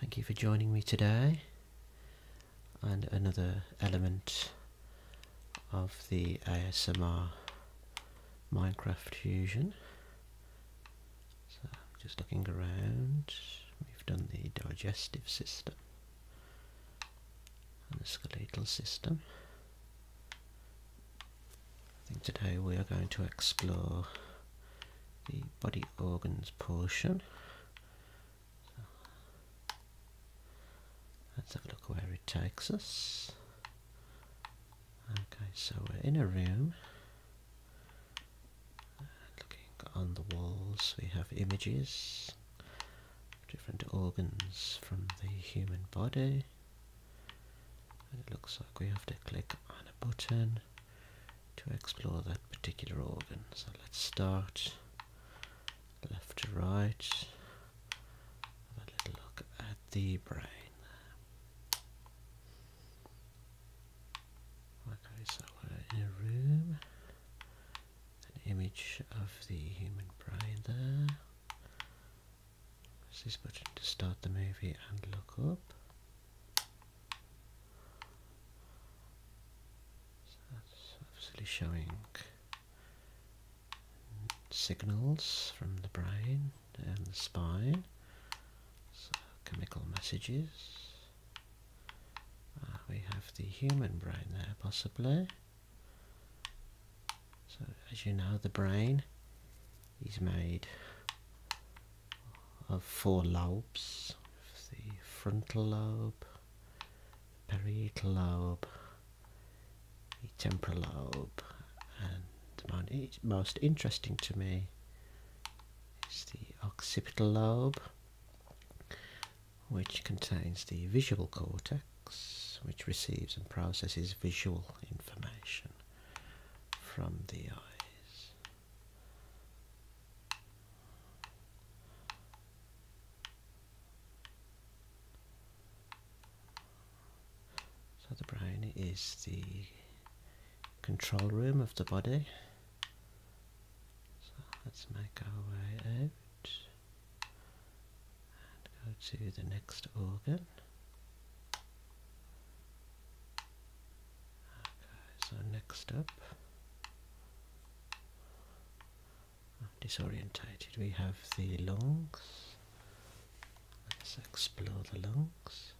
Thank you for joining me today, and another element of the ASMR Minecraft Fusion. So, just looking around, we've done the digestive system and the skeletal system. I think today we are going to explore the body organs portion. let's have a look where it takes us. Okay, so we're in a room. Looking on the walls, we have images different organs from the human body. it looks like we have to click on a button to explore that particular organ. So let's start left to right. Have a little look at the brain. Okay, so we're in a room. An image of the human brain there. Press this button to start the movie and look up. So that's obviously showing signals from the brain and the spine. So chemical messages. Ah, we have the human brain there possibly. So as you know the brain is made of uh, four lobes the frontal lobe, the parietal lobe, the temporal lobe, and the most interesting to me is the occipital lobe, which contains the visual cortex, which receives and processes visual information from the eyes. So the brain is the control room of the body. So let's make our way out and go to the next organ so next up, disorientated, we have the lungs. Let's explore the lungs.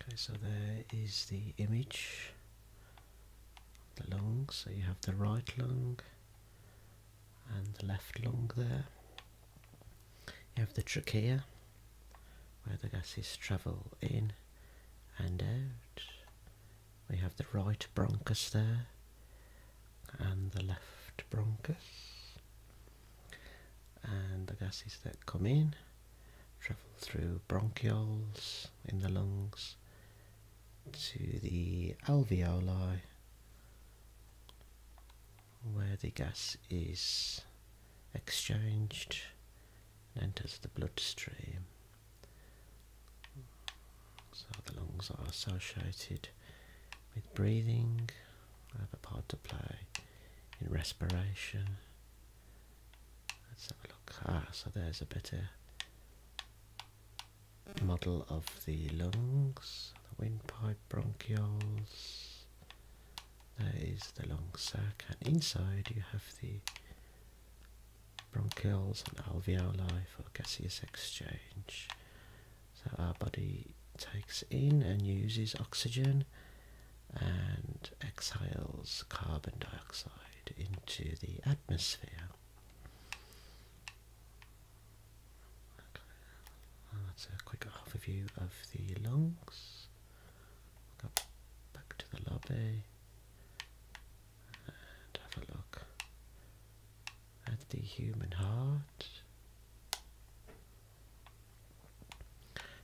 Okay, so there is the image the lungs. So you have the right lung, and the left lung there. You have the trachea where the gases travel in and out. We have the right bronchus there and the left bronchus and the gases that come in travel through bronchioles in the lungs to the alveoli where the gas is exchanged and enters the bloodstream. So the lungs are associated with breathing, have a part to play in respiration. Let's have a look. Ah, so there's a bit of model of the lungs, the windpipe, bronchioles. There is the lung sac, and inside you have the bronchioles and alveoli for gaseous exchange. So our body takes in and uses oxygen and exhales carbon dioxide into the atmosphere. That's a quick overview of the lungs. back to the lobby and have a look at the human heart.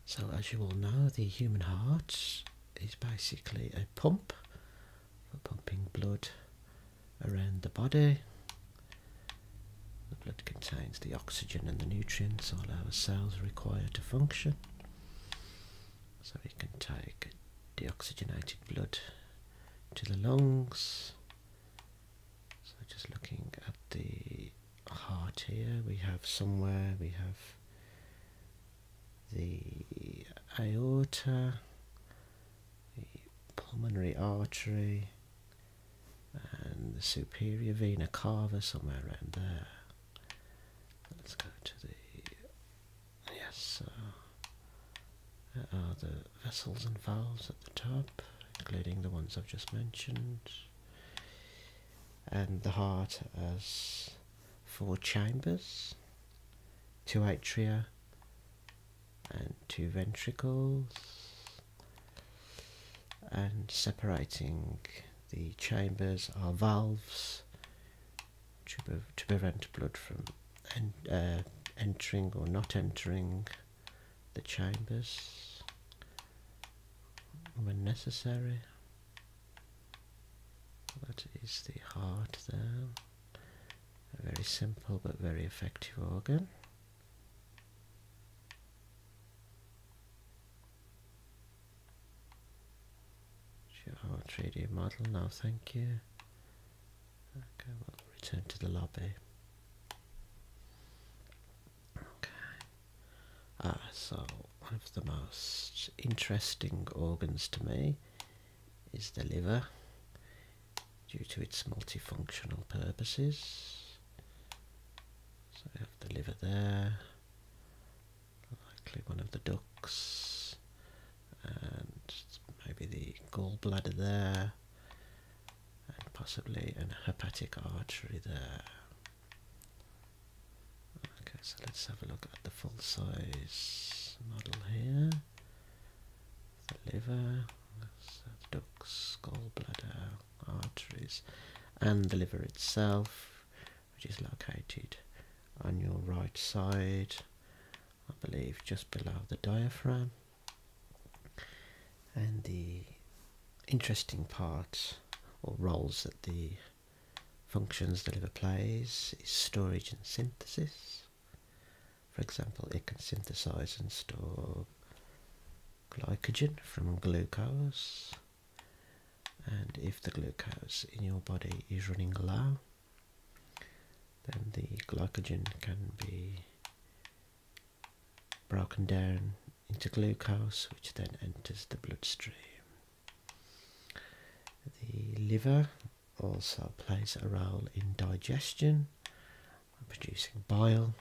So as you all know, the human heart is basically a pump for pumping blood around the body. The blood contains the oxygen and the nutrients all our cells require to function. So we can take deoxygenated blood to the lungs. So just looking at the heart here, we have somewhere, we have the aorta the pulmonary artery, and the superior vena cava somewhere around there. Let's go to the yes. there are the vessels and valves at the top, including the ones I've just mentioned, and the heart has four chambers, two atria, and two ventricles and separating the chambers are valves to, prevent blood from uh, entering or not entering the chambers when necessary. That is the heart there. A very simple but very effective organ. Our 3D model now, thank you. Okay, we'll return to the lobby. Ah, so one of the most interesting organs to me is the liver due to its multifunctional purposes. So we have the liver there, likely one of the ducts, and maybe the gallbladder there, and possibly an hepatic artery there. Okay, so let's have a look at the full size model here the liver, ducts, gallbladder, arteries, and the liver itself, which is located on your right side, I believe just below the diaphragm. And the interesting part or roles that the functions the liver plays is storage and synthesis. For example, it can synthesize and store glycogen from glucose. And if the glucose in your body is running low, then the glycogen can be broken down into glucose, which then enters the bloodstream. The liver also plays a role in digestion, producing bile,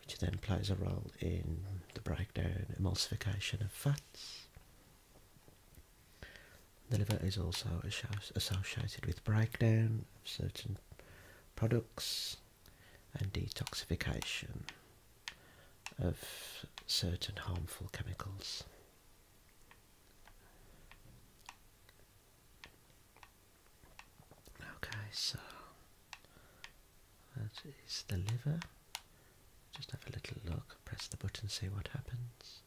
which then plays a role in the breakdown, emulsification of fats. The liver is also associated with breakdown of certain products and detoxification of certain harmful chemicals. Okay, so that is the liver. Just have a little look, press the button, see what happens.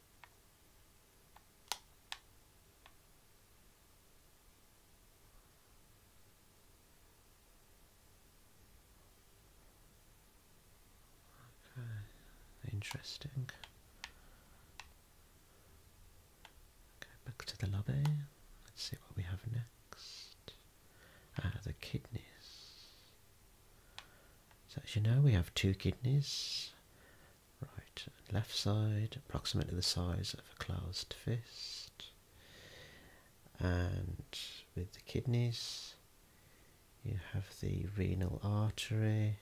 Okay, interesting. Okay, back to the lobby. Let's see what we have next. Ah, the kidneys. So as you know, we have two kidneys. Right and left side, approximately the size of a closed fist. And with the kidneys, you have the renal artery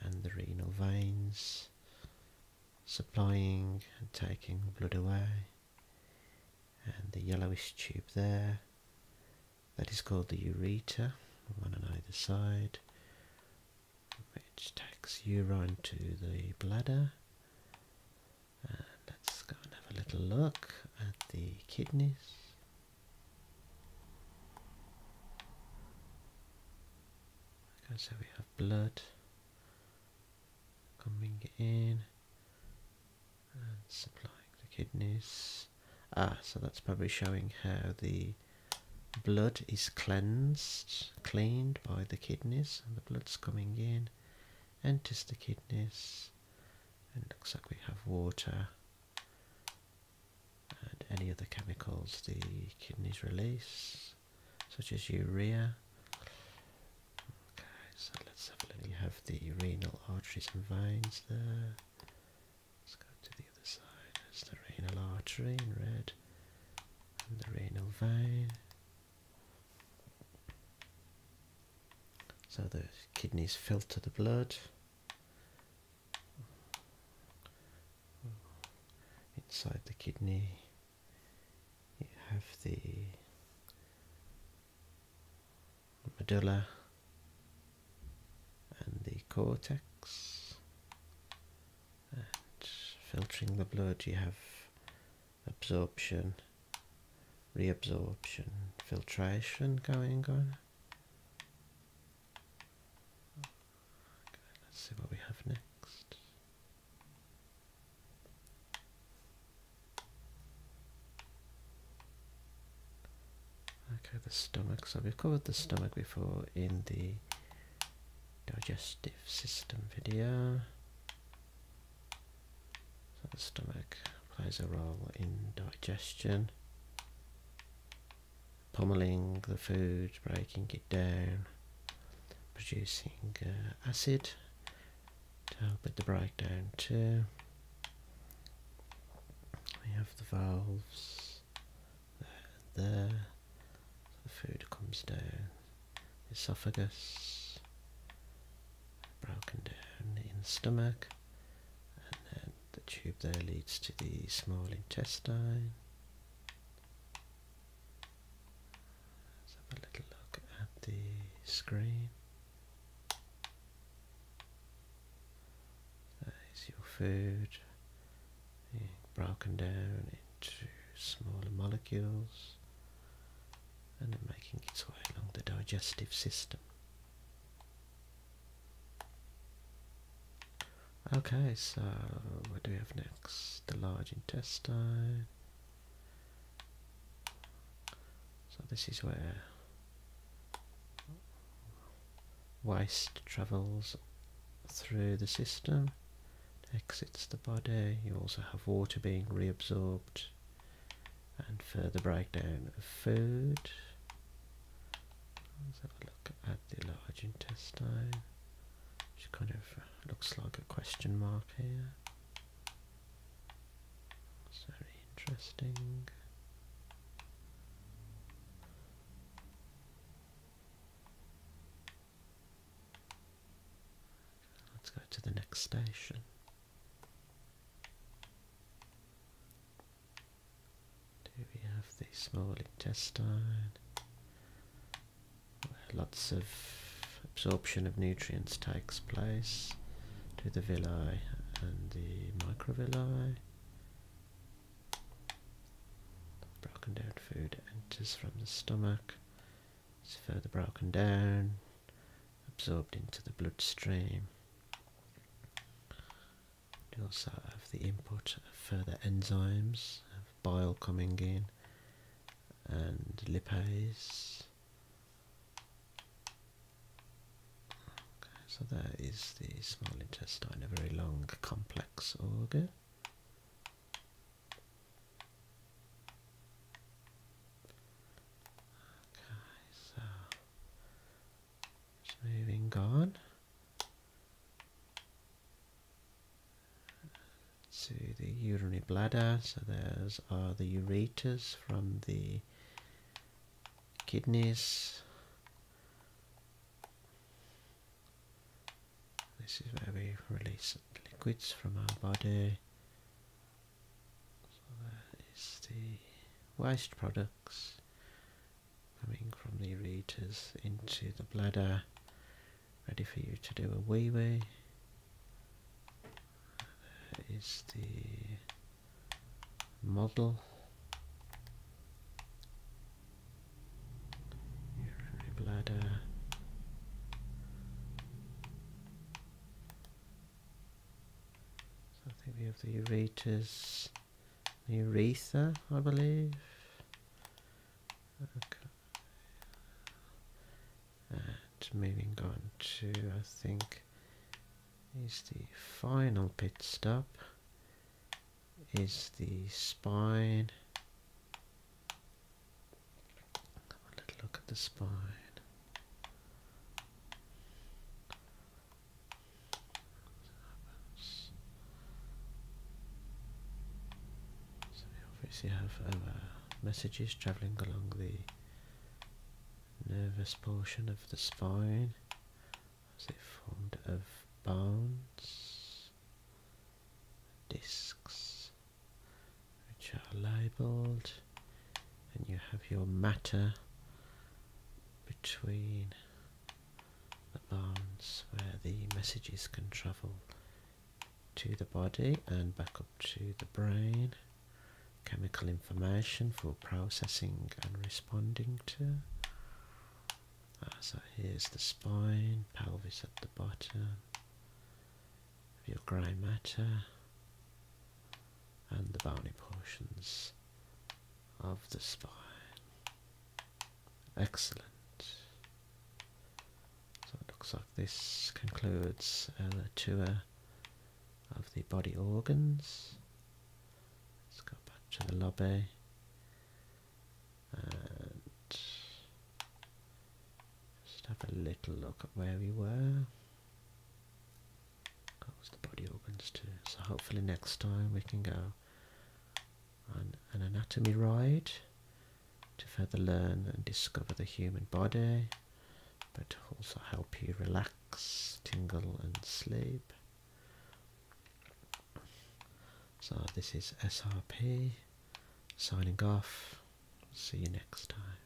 and the renal veins supplying and taking blood away and the yellowish tube there that is called the ureter one on either side which takes urine to the bladder and let's go and have a little look at the kidneys so we have blood coming in and supplying the kidneys. Ah, so that's probably showing how the blood is cleansed, cleaned by the kidneys, and the blood's coming in, enters the kidneys, and looks like we have water and any other chemicals the kidneys release, such as urea. Okay, so let's have a look. We have the renal arteries and veins there. Let's go to the other side. There's the renal artery in red and the renal vein. So the kidneys filter the blood Inside the kidney, you have the medulla and the cortex. And filtering the blood, you have absorption, reabsorption, filtration going on let's see what we have next. Okay, the stomach. So we've covered the stomach before in the digestive system video. So the stomach plays a role in digestion pummeling the food, breaking it down, producing uh, acid to help with the breakdown too. We have the valves there, the food comes down, esophagus, broken down in stomach, and then the tube there leads to the small intestine. Let's have a little look at the screen. There's your food broken down into smaller molecules and then making its way along the digestive system. Okay, so what do we have next? The large intestine. So this is where waste travels through the system, exits the body. You also have water being reabsorbed and further breakdown of food. Let's have a look at the large intestine, which kind of uh, looks like a question mark here. It's very interesting. Let's go to the next station. Do we have the small intestine? Where lots of absorption of nutrients takes place to the villi and the microvilli. Broken down food enters from the stomach, it's further broken down, absorbed into the bloodstream. We also have the input of further enzymes, bile coming in, and lipase. so there is the small intestine, a very long, complex organ. Moving on even To the urinary bladder, so there's are the ureters from the kidneys. This is where we release liquids from our body. So that is the waste products coming from the ureters into the bladder, ready for you to do a wee wee. That is the model. Urinary bladder. I think we have the Euretus, the Uretha, I believe. And moving on to, I think, is the final pit stop, is the spine. Let's look at the spine. So we obviously have um, uh, messages travelling along the nervous portion of the spine as it formed of bones, discs, which are labelled and you have your matter between the bones where the messages can travel to the body and back up to the brain chemical information for processing and responding to ah, so here's the spine pelvis at the bottom your grey matter and the bony portions of the spine. Excellent. So it looks like this concludes our uh, tour of the body organs. Let's go back to the lobby and just have a little look at where we were. Close the body opens too. So hopefully next time we can go on an anatomy ride to further learn and discover the human body, but also help you relax, tingle and sleep. So this is SRP signing off. See you next time.